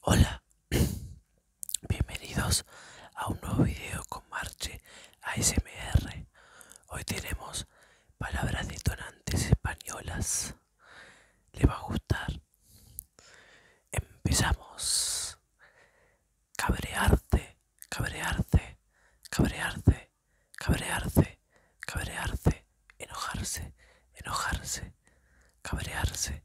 Hola, bienvenidos a un nuevo video con Marche ASMR. Hoy tenemos palabras detonantes españolas. ¿Les va a gustar? Empezamos. Cabrearse Cabrearse Cabrearse Cabrearse Cabrearse enojarse, enojarse, cabrearse,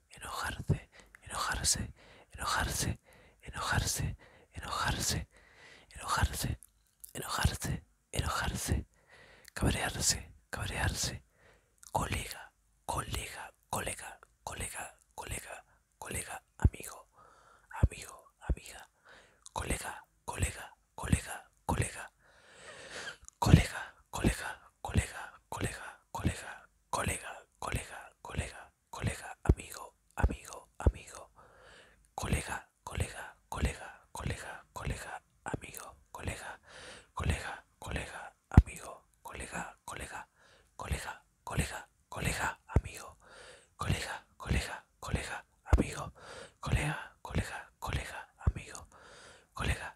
enojarse, enojarse, enojarse, enojarse, enojarse, enojarse, enojarse, enojarse, cabrearse, cabrearse, colega, colega, colega, colega, colega, colega, amigo, amigo, amiga, colega, colega, colega, colega, colega, colega, colega, colega, colega, colega, colega, colega, colega, amigo, amigo, amigo, colega, colega, colega, colega, colega, amigo, colega, colega, colega, amigo, colega, colega, colega, colega, colega, amigo, colega, colega, colega, amigo, colega, colega, colega, amigo, colega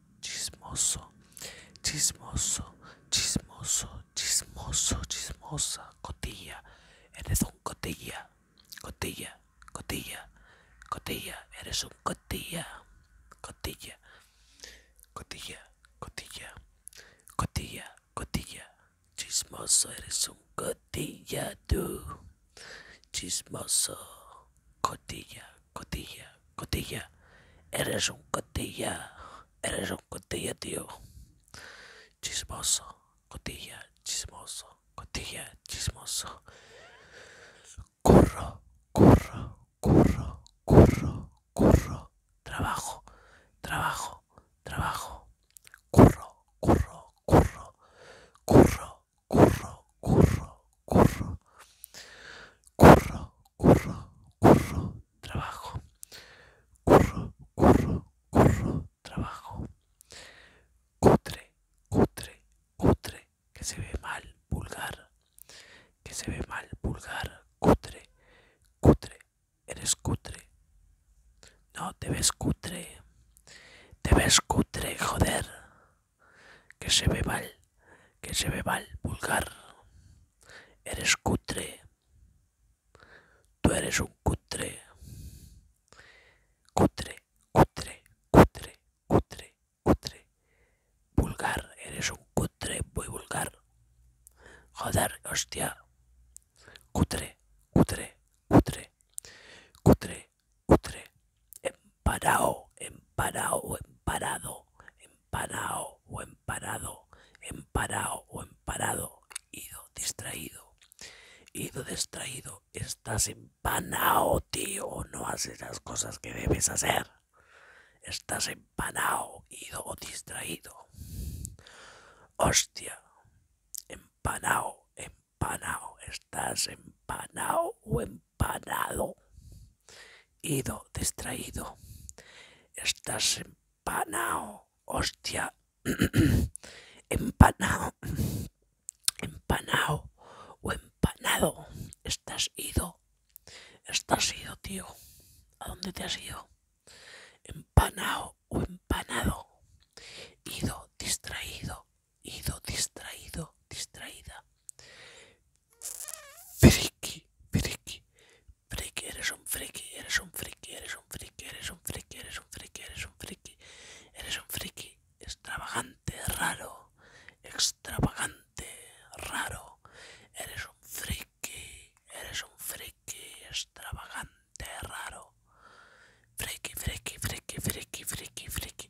chismoso, chismoso, chismoso, chismoso, chismosa, cotilla, eres un cotilla, cotilla, cotilla, cotilla, eres un cotilla, cotilla, cotilla, cotilla, cotilla, cotilla, chismoso, eres un cotilla tú, chismoso, cotilla, cotilla, cotilla. Eres un cotilla, eres un cotilla, tío. Chismoso, cotilla, chismoso, cotilla, chismoso. Curro, curro, curro, curro, curro. Trabajo, trabajo, trabajo. Curro, curro, curro, curro, curro, curro, curro. Curro, curro, curro, trabajo. Curro, curro, curro, trabajo. Cutre, cutre, cutre, que se ve mal, vulgar. Que se ve mal, vulgar, cutre, cutre, eres cutre. No, te ves cutre. Te ves cutre, joder. que se ve mal, que se ve mal, vulgar. Eres cutre. Tú eres un cutre. Cutre, cutre, cutre, cutre, cutre. Vulgar, eres un cutre muy vulgar. Joder, hostia. Cutre, cutre, cutre, cutre, cutre. En Emparado, emparao o emparado, emparao o emparado, emparao o emparado, ido distraído, ido distraído, estás empanao, tío, no haces las cosas que debes hacer, estás empanao, ido o distraído, hostia, empanao, empanao, estás empanao o empanado, ido, distraído, estás empanado, hostia, empanado, empanado o empanado, estás ido, estás ido, tío, ¿a dónde te has ido? Empanado o empanado, ido, distraído, ido, distraído, distraída friki, friki, friki, eres un friki, eres un friki, eres un friki, eres un friki, eres un friki, eres un friki, eres un friki, extravagante, raro, extravagante, raro, eres un friki, eres un friki, extravagante, raro, friki, friki, friki, friki, friki, friki.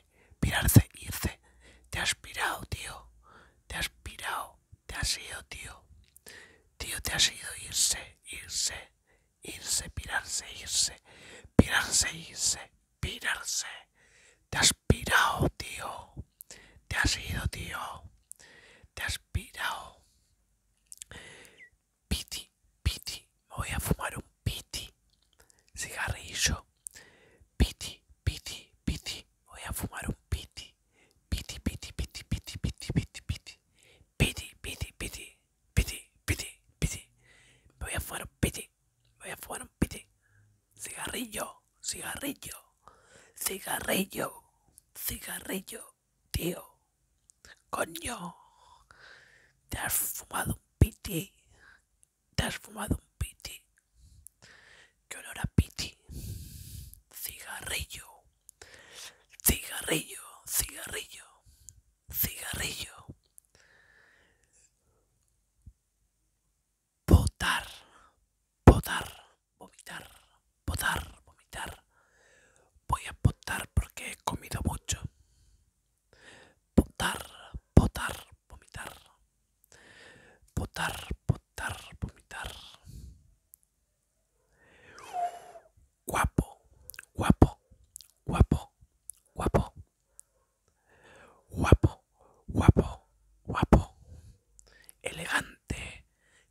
pirarse, irse. Te has pirado, tío. Te has pirado. Te has ido, tío. Tío, te has ido, irse, irse, irse, pirarse, irse, pirarse, irse, pirarse. Te has pirado, tío. Te has ido, tío. Te has pirado. Piti, piti. voy a fumar un piti cigarrillo, piti, piti, piti, voy a fumar un piti, piti, piti, piti, piti, piti, piti, piti, piti, piti, piti, piti, piti, piti, voy a fumar un piti, voy a fumar un piti, cigarrillo, cigarrillo, cigarrillo, cigarrillo, tío, coño, te has fumado un piti. ¿Te has fumado un piti? ¿Qué olor a piti? Cigarrillo, cigarrillo, cigarrillo, cigarrillo. Potar Potar vomitar, Potar vomitar. Voy a potar porque he comido mucho. Potar Potar vomitar, potar, potar, vomitar. Guapo, guapo, guapo, guapo. Guapo, guapo, guapo. Elegante,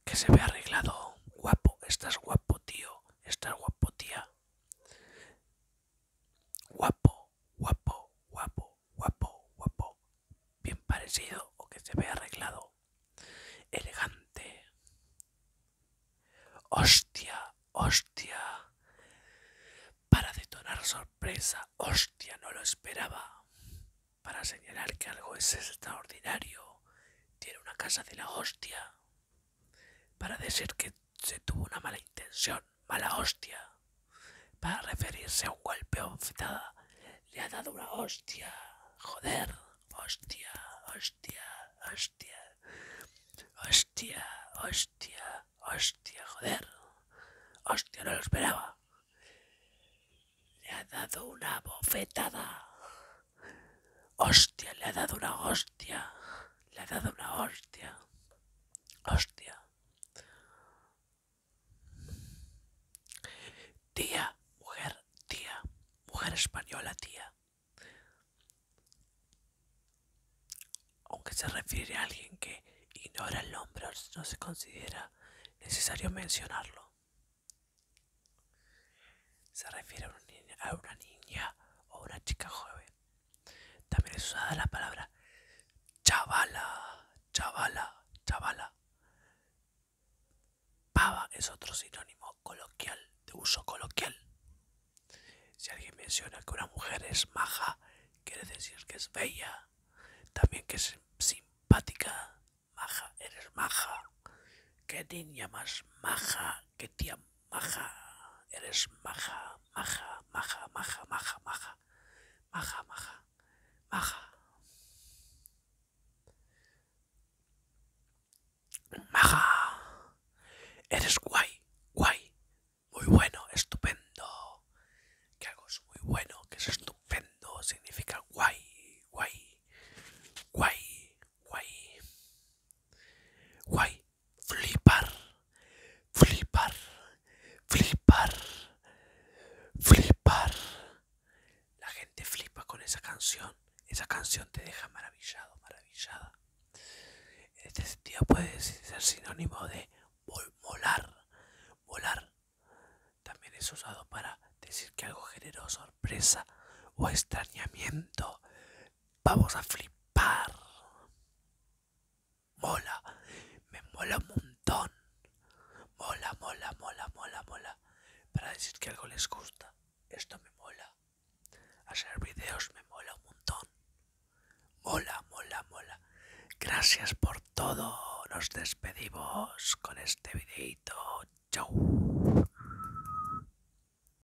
que se ve arreglado. Guapo, estás guapo, tío, estás guapo, tía. Guapo, guapo, guapo, guapo, guapo. Bien parecido o que se ve arreglado. Elegante. Hostia, hostia. Para detonar sorpresa, hostia, no lo esperaba. Para señalar que algo es extraordinario. Tiene una casa de la hostia. Para decir que se tuvo una mala intención, mala hostia. Para referirse a un golpe bofetada. le ha dado una hostia. Joder, hostia, hostia, hostia. Hostia, hostia, hostia, joder. Hostia, no lo esperaba. Le ha dado una bofetada. Hostia, le ha dado una hostia hostia. Le ha dado una hostia. Hostia. Tía, mujer, tía. Mujer española, tía. Aunque se refiere a alguien que ignora el nombre, no se considera necesario mencionarlo. Se refiere a una niña o una chica joven también es usada la palabra chavala, chavala, chavala. Pava es otro sinónimo coloquial, de uso coloquial. Si alguien menciona que una mujer es maja, quiere decir que es bella. También que es simpática. Maja, eres maja. Qué niña más maja, qué tía maja, eres maja, maja, maja, maja, maja, maja, maja, maja, maja. Maja, eres guay, guay, muy bueno, estupendo. Que algo es muy bueno, que es estupendo, significa guay, guay, guay, guay, guay flipar, flipar, flipar, flipar. La gente flipa con esa canción. Esa canción te deja maravillado, maravillada. En este sentido puede ser sinónimo de volar, volar. También es usado para decir que algo generó sorpresa o extrañamiento. Vamos a flipar. Mola, me mola un montón. Mola, mola, mola, mola, mola. Para decir que algo les gusta. Esto me mola. Hacer vídeos me mola un montón. Mola, mola, mola. Gracias por todo. Nos despedimos con este videito. Chau.